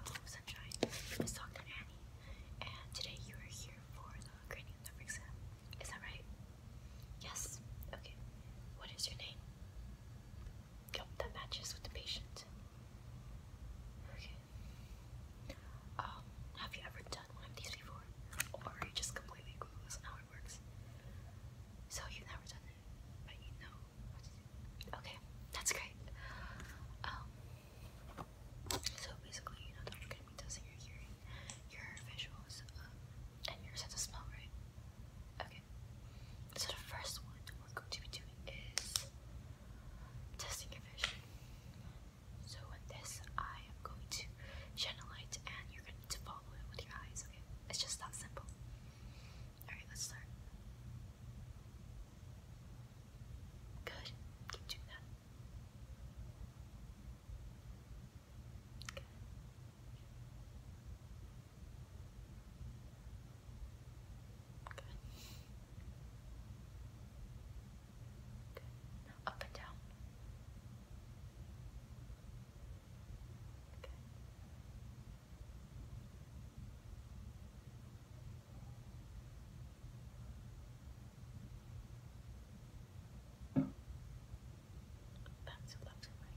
Hello Sunshine, it's Dr. Annie, and today you are here for the cranial nerve exam. Is that right? Yes. Okay. What is your name? Yep, that matches with the patient. Okay. Um, have you ever done one of these before? Or are you just completely clueless on how it works? So you've never done it, but you know Okay, that's great. Um, so basically, you know we're gonna be testing your hearing, your visuals, um, and your sense of smell, right? Okay. So the first one we're going to be doing is testing your vision. So with this, I am going to shine a light, and you're gonna need to follow it with your eyes. Okay, it's just that simple. All right, let's start. Good. Keep doing that. Good. Good. up and down. Good. That's a lovely way.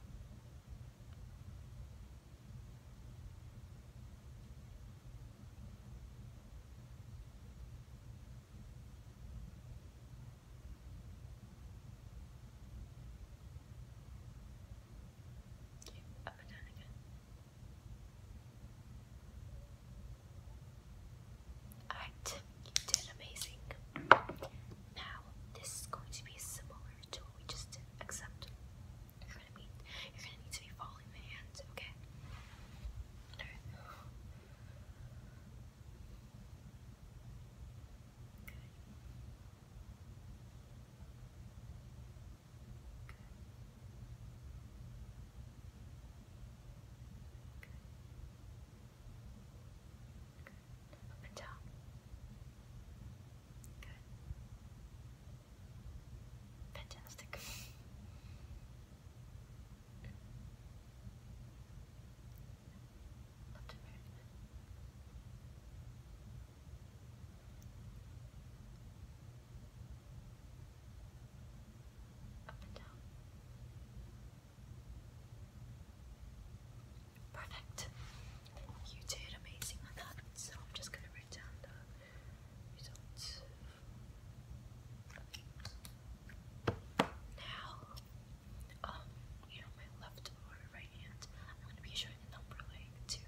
Okay, Alright, you did amazing. Now, this is going to be similar to what we just did, except you're gonna need, to be following my hands, okay? Good. Up Good. Fantastic. Left up and down. Perfect. You did amazing on that. So I'm just gonna write down the results. Now um, you know, my left or right hand. I'm gonna be showing a number like two,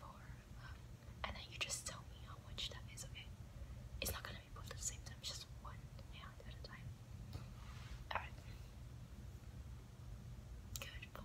four, um, and then you just tell me how much that is, okay? It's not gonna be both at the same time, it's just one hand at a time. Alright. Good, Four.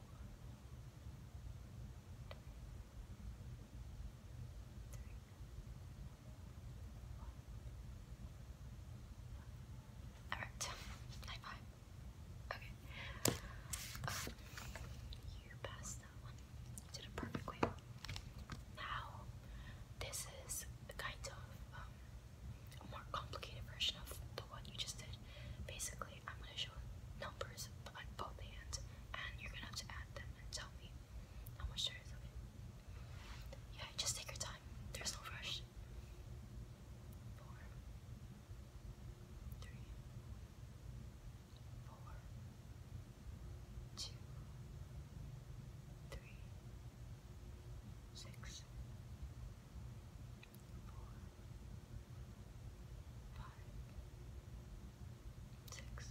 All right, high Okay. Um, you passed that one. did it perfectly. Now, this is a kind of um, a more complicated version of the one you just did. Basically, I'm going to show numbers on both hands, and you're going to have to add them and tell me how much there is Yeah, just take your time. There's no rush. Four, three, four, two, three, six, four, five, six,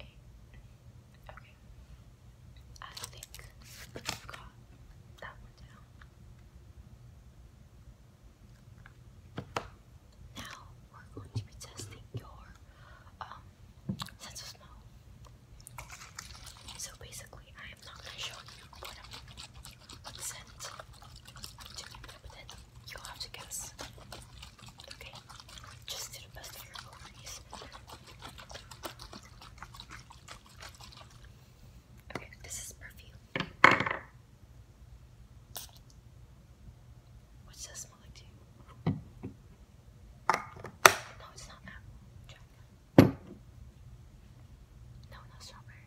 eight. Okay. I think i got that one down. Now we're going to be testing your um sense of smell. So basically, I am not gonna show you what I'm what to be you have to guess. Okay, just do the best of your abilities. Okay, this is perfume. What does it smell like to you? No, it's not apple. Try No, strawberry.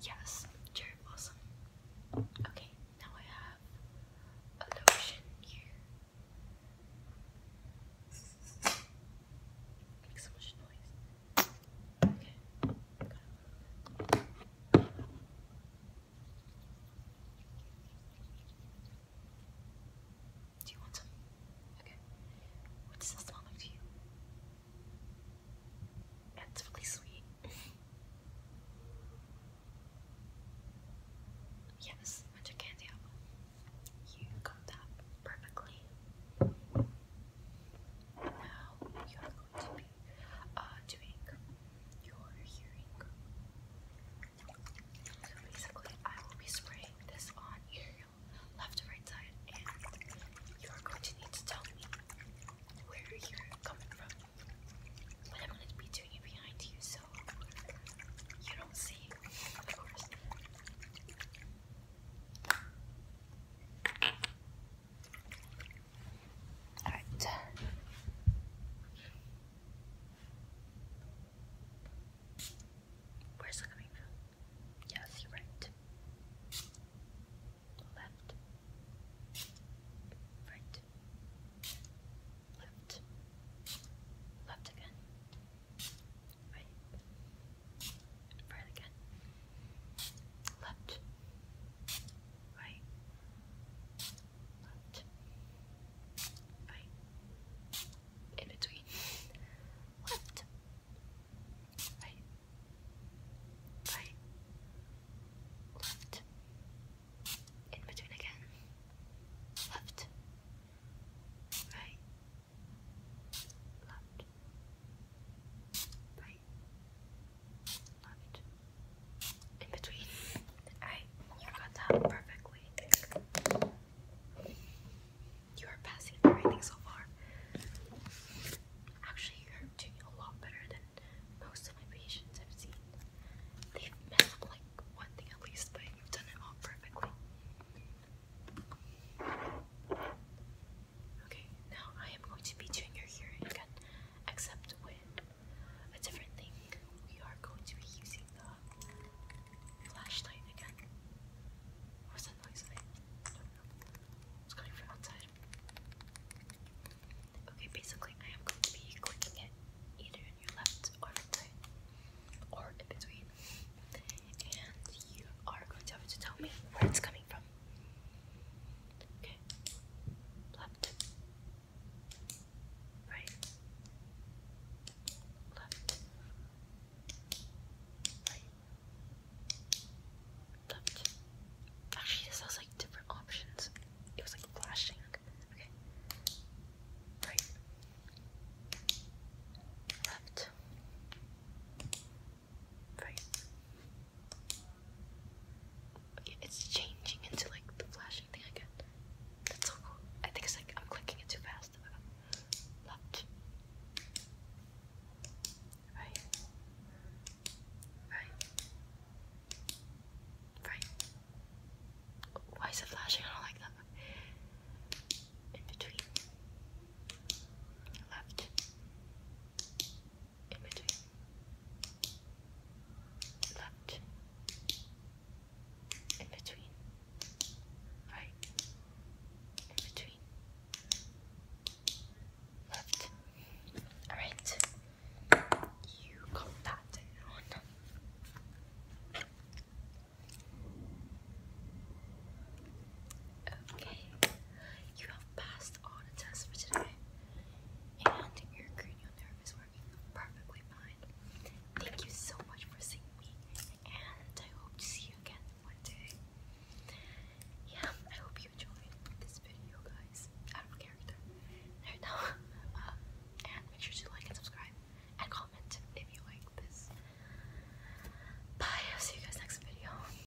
Yes, cherry blossom. Okay, now I have a lotion here. Makes so much noise. Okay, do you want some? Okay. What does this smell like to you? It's really sweet. yes, winter candy You got that perfectly. And you're going to be uh, doing your hearing. So basically, I will be spraying this on your left to right side, and you are going to need to tell me where you're coming from. But I'm going to be doing it behind you, so you don't see, Alright. Where's it coming from? Yes, you're right. Left. Right. Left. Left again. Right. Right again. Left. Right but right, in between, left, right, right, left, in between again, left, right, left, right, in between. Alright, you got that perfectly. You are passing everything so far. Actually, you're doing a lot better than most of my patients have seen. They've messed like one thing at least, but you've done it all perfectly. Okay, now I am going to be doing your hearing again, except with a different thing. We are going to be using the flashlight again. What's that noise? I It's coming from outside. Okay, basically, I am going to be clicking it either in your left or right or in between, and you are going to have to tell me where it's coming from. Okay. Left. Right. Left. Right. Left. Actually, this has like different options. It was like flashing. Okay. Right. Left. Right it's changing into like the flashing thing again. That's so cool. I think it's like I'm clicking it too fast. Left. Right. Right. Right. Why is it flashing? I don't like that. In between. Left in between. Left. In between. Right. In between. Left. Alright. You got that down. Okay, you have passed on a test for today, and your cranial nerve is working perfectly fine. Thank you so much for seeing me, and I hope to see you again one day. Yeah, I hope you enjoyed this video, guys. Out of character. There now. Um, and make sure to like and subscribe and comment if you like this. Bye. I'll see you guys next video.